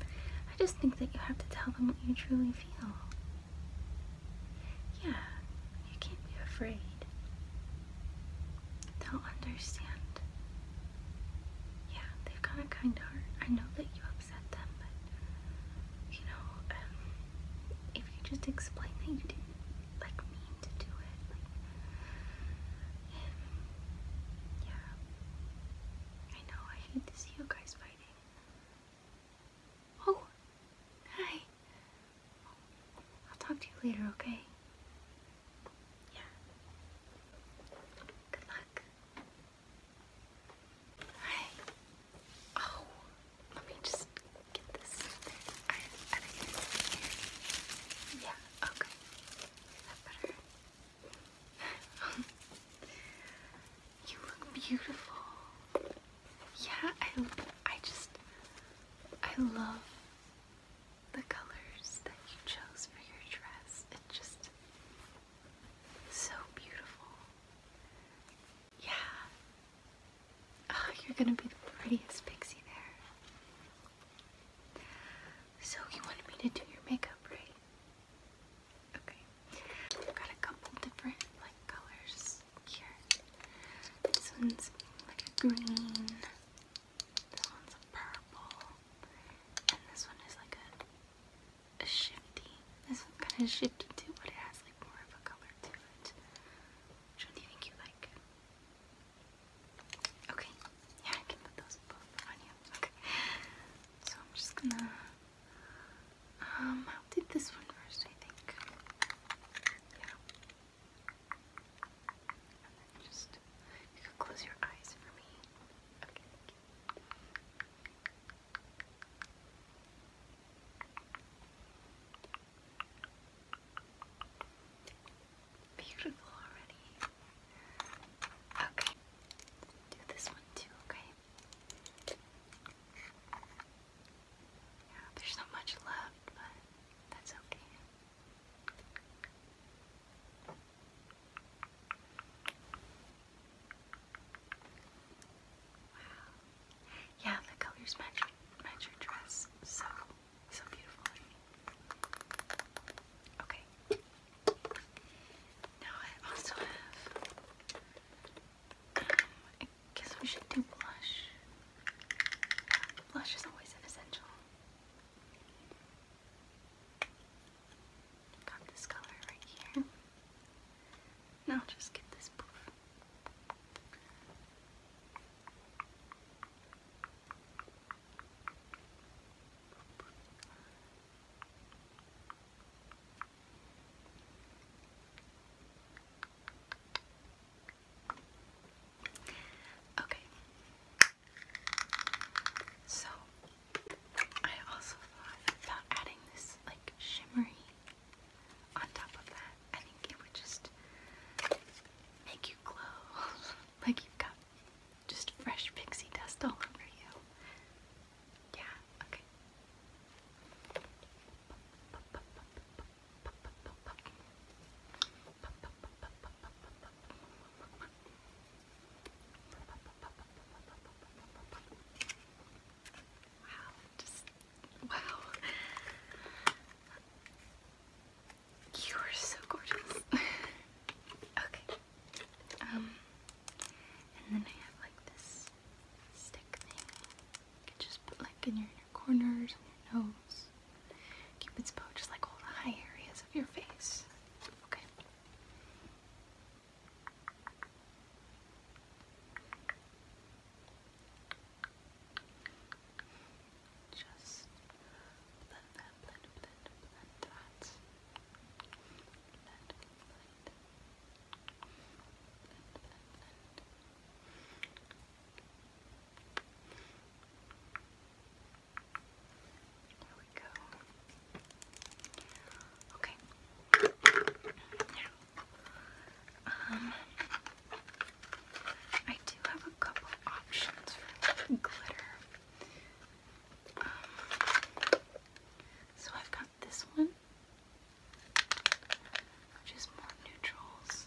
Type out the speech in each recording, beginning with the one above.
I just think that you have to tell them what you truly feel. Yeah, you can't be afraid. They'll understand. Yeah, they've got a kind heart. I know that you upset them, but you know, um, if you just explain that you didn't like mean to do it, um, yeah, I know I hate to see you guys fighting. Oh, hi. I'll talk to you later, okay? Yeah. Good luck. Hi. Oh, let me just get this. Yeah, okay. you look beautiful. Yeah, I, I just, I love the colors that you chose for your dress. It just, so beautiful. Yeah. Ah, you're gonna be the prettiest pixie there. So you wanted me to do your makeup, right? Okay. I've got a couple different like colors here. This one's like a green. This one's a purple. And this one is like a a shifty. This one's kind of shifty too, but it has like more of a color to it. Which one do you think you like? Okay, yeah, I can put those both on you. Okay. So I'm just gonna. Um, I'll do this one first, I think. Yeah. just. You can close your eyes for me. Okay, beautiful already. Okay, do this one too, okay? there's not much left, but that's okay. Wow. Yeah, the colors match match your dress so so beautifully. Okay. Now I also have, um, I guess we should do blush. blush is always an essential. Got this color right here. Now just get this poof. Okay. So I also thought about adding this like shimmery on top of that. I think it would just make you glow. like you've got just fresh pixie dust all over you. Yeah, okay. Wow, wow. You are so gorgeous. okay. Um, and then I have like this stick thing. You can just put like in your corners, on your nose. Cupid's bow just like all the high areas of your face. Okay. Just blend that, blend, blend, blend Blend, blend. Blend, blend, blend. There we go. Okay. Now, um, I do have a couple options for glitter. Um, so I've got this one, which is more neutrals.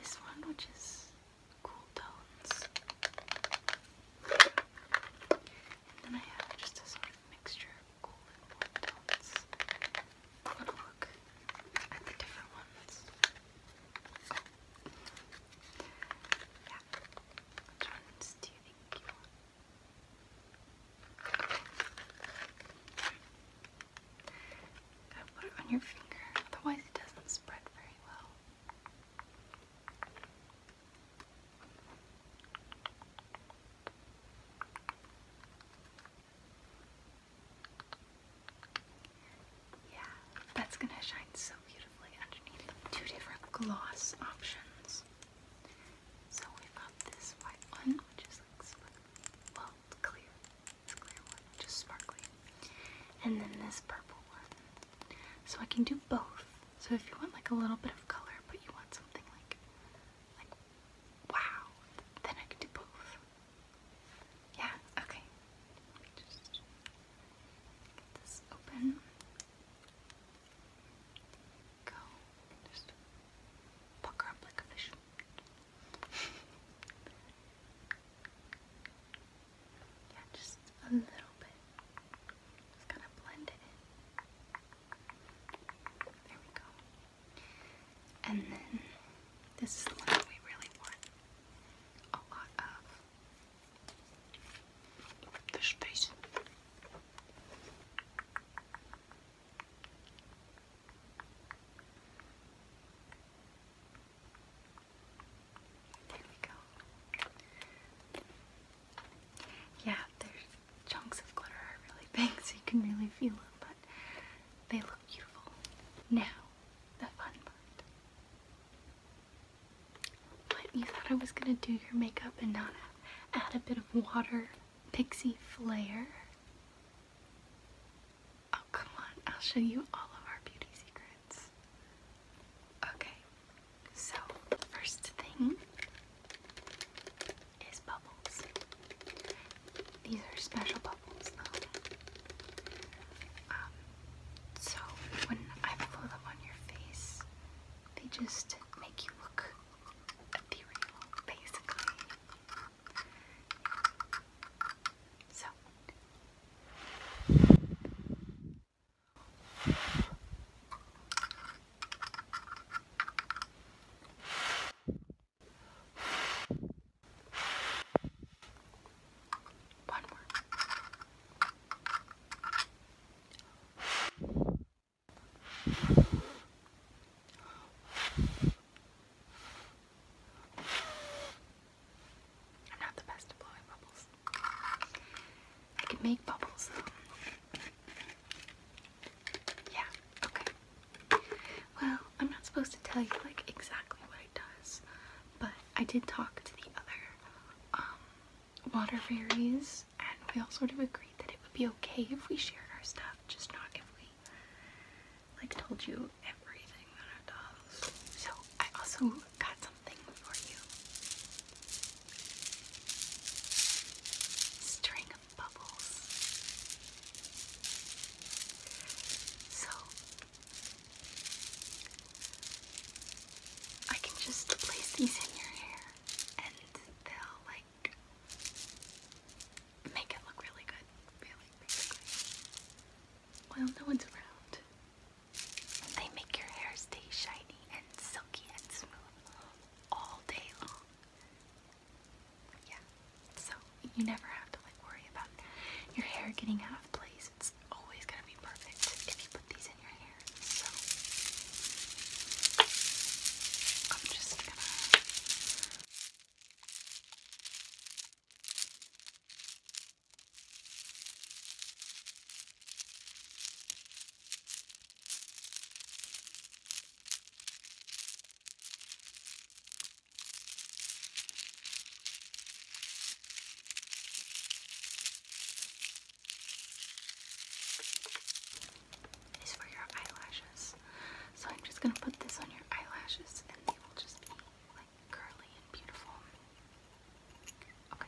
This one, which is cool tones. And then I have just a sort mixture of cool and warm tones. I want look at the different ones. Yeah. Which ones do you think put it on your finger, otherwise it doesn't spread very well. Yeah, that's gonna shine so beautifully underneath Two different gloss options. So we've got this white one, which is like, well, it's clear. clear one, which is sparkly. And then this purple one. So I can do both. So if you want like a little bit of color, but you want something like, like, wow, then I can do both. Yeah, okay. just get this open. Go. Just pucker up like a fish. yeah, just a little bit. Just kind of blend it in. There we go. And then this is the one we really want a lot of. Fish face. There we go. Yeah, their chunks of glitter are really big, so you can really feel it, but they now, the fun part. you thought I was gonna do your makeup and not add, add a bit of water pixie flair? Oh, come on, I'll show you all of our beauty secrets. Okay, so first thing is bubble these are special bubbles though. Um, so when I blow them on your face, they just make you look ethereal, basically. So. One more. I'm not the best at blowing bubbles. I can make bubbles. Yeah, okay. Well, I'm not supposed to tell you like exactly what it does, but I did talk to the other um, water fairies and we all sort of agreed that it would be okay if we shared our stuff, just not if we like told you everything that it does. So I also got something for you. String bubbles. So I can just place these in your hair and they'll like make it look really good, really, no one's around. They make your hair stay shiny and silky and smooth all day long. Yeah, so you never have to like worry about your hair getting out of place. It's always gonna be perfect if you put these in your hair. So I'm just gonna is for your eyelashes. So I'm just going to put this on your eyelashes and they will just be like curly and beautiful. Okay.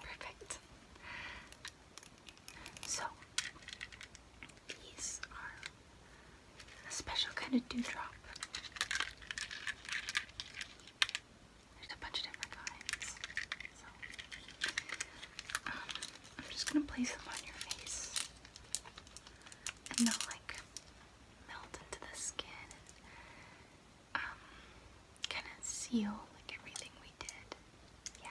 Perfect. So these are a special kind of dewdrop. There's a bunch of different kinds. Um, I'm just gonna place them on your face, and they'll like melt into the skin, um, kind of seal like everything we did. Yeah.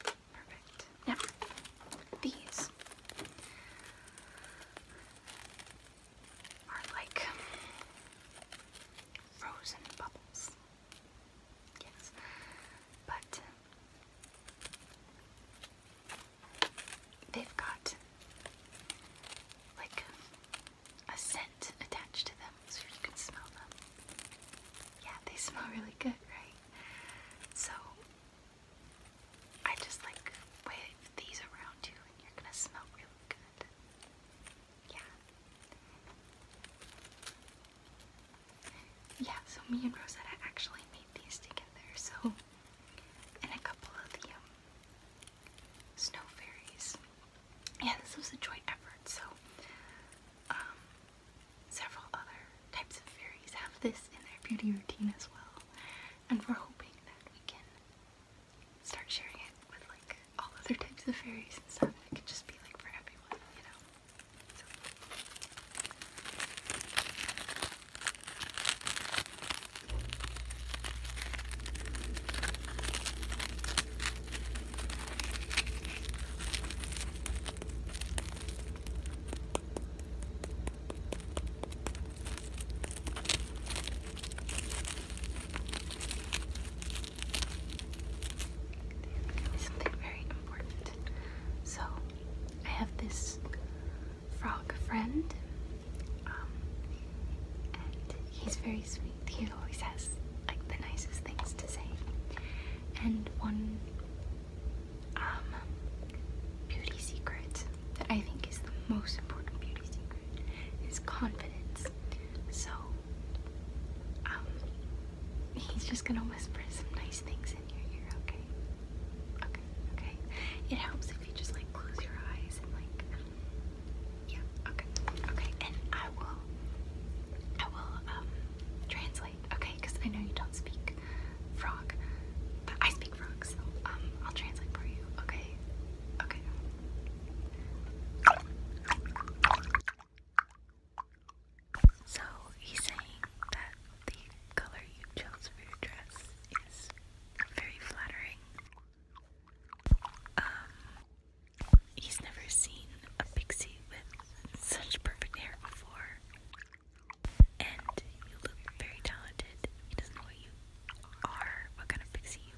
Perfect. these are like frozen bubbles. Yes. But they've got like a scent attached to them so you can smell them. Yeah, they smell really good, right? So I just like wave these around you and you're gonna smell really good. Yeah. Yeah, so me and Rosetta actually made these together, so and a couple of the um, snow fairies. Yeah, this was a joint effort, so um, several other types of fairies have this in their beauty routine as well, and we're hoping that we can start sharing it with like all other types of fairies and stuff. It can just be like for everyone, you know. Something very important. So, I have this frog friend, um, and he's very sweet. He it always has like the nicest things to say. And one um, beauty secret that I think is the most important beauty secret is confidence. So um, he's just gonna whisper some nice things in your ear, okay? It helps if you just like close your eyes and like, okay, okay. And I will I will um, translate, okay? Because I know you don't speak frog, but I speak frog, so um, I'll translate for you, okay? Okay. So he's saying that the color you chose for your dress is very flattering. Um, He's never seen a pixie with such perfect hair before. And you look very talented. He doesn't know what you are, what kind of pixie you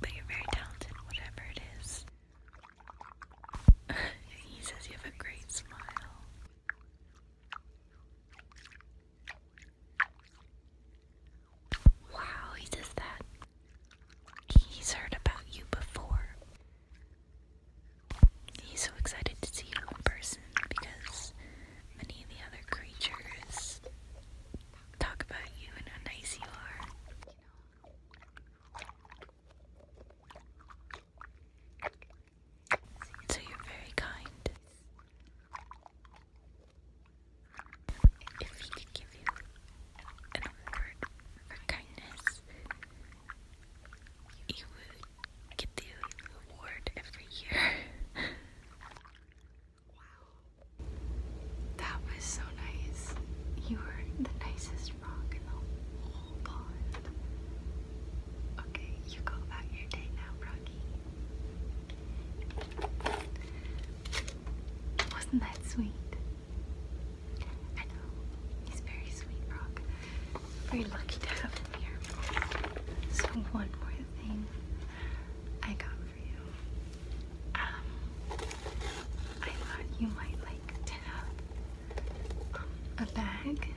but you're very talented, whatever it is. he says you have a great smile. Wow, he does that. He's heard about you before. He's so excited to see you in person because many of the other creatures talk about you and how nice you are. So you're very kind an award for kindness. You would get the award every year. wow. That was so nice. You were the nicest rock in the whole pond. Okay, you go about your day now, Rocky. Wasn't that sweet? I know. He's very sweet, Brock. Very lucky to have him here. So one more thing I got for you. Um, I thought you might like to have a bag.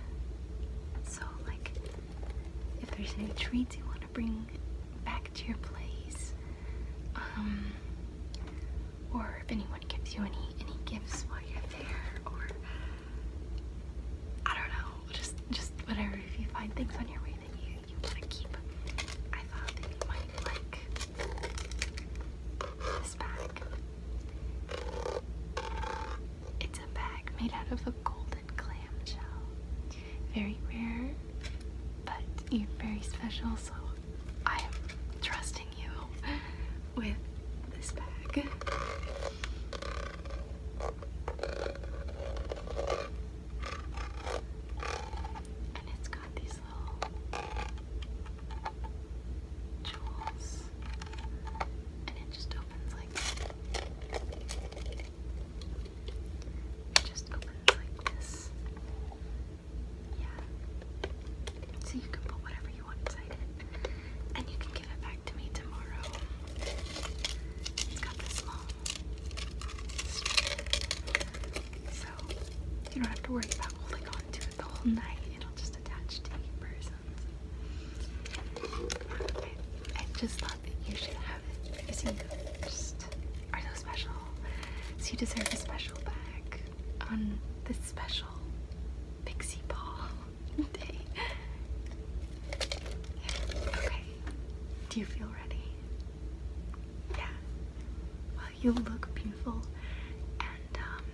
So like, if there's any treats you want to bring back to your place, um, or if anyone gives you any any gifts while you're there, or I don't know, just just whatever. If you find things on your way that you you want to keep, I thought that might like this bag. It's a bag made out of a golden clam shell. Very rare, but very special. So I'm trusting you with this bag. And it's got these little jewels. And it just opens like this. Yeah. So you can put whatever you want inside it. And you can give it back to me tomorrow. It's got this long So you don't have to worry about holding on to it the whole night. It'll just attach to your persons. I just thought that you should have it because you just are so special. So you deserve a special bag on this special pixie ball day. Okay, do you feel ready? Yeah. you look beautiful, and um,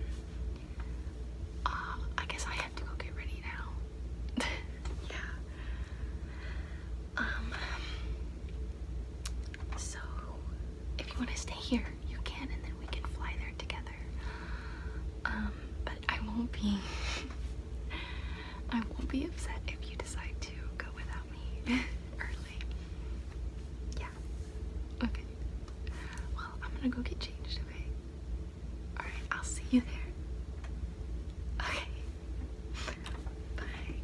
uh, I guess I have to go get ready now. yeah. Um, so if you want to stay here, you can, and then we can fly there together. Um, but I won't be. I won't be upset if you decide to go without me Yeah. Okay. Well, I'm gonna go get changed, okay? Alright, I'll see you there. Okay.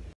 Bye.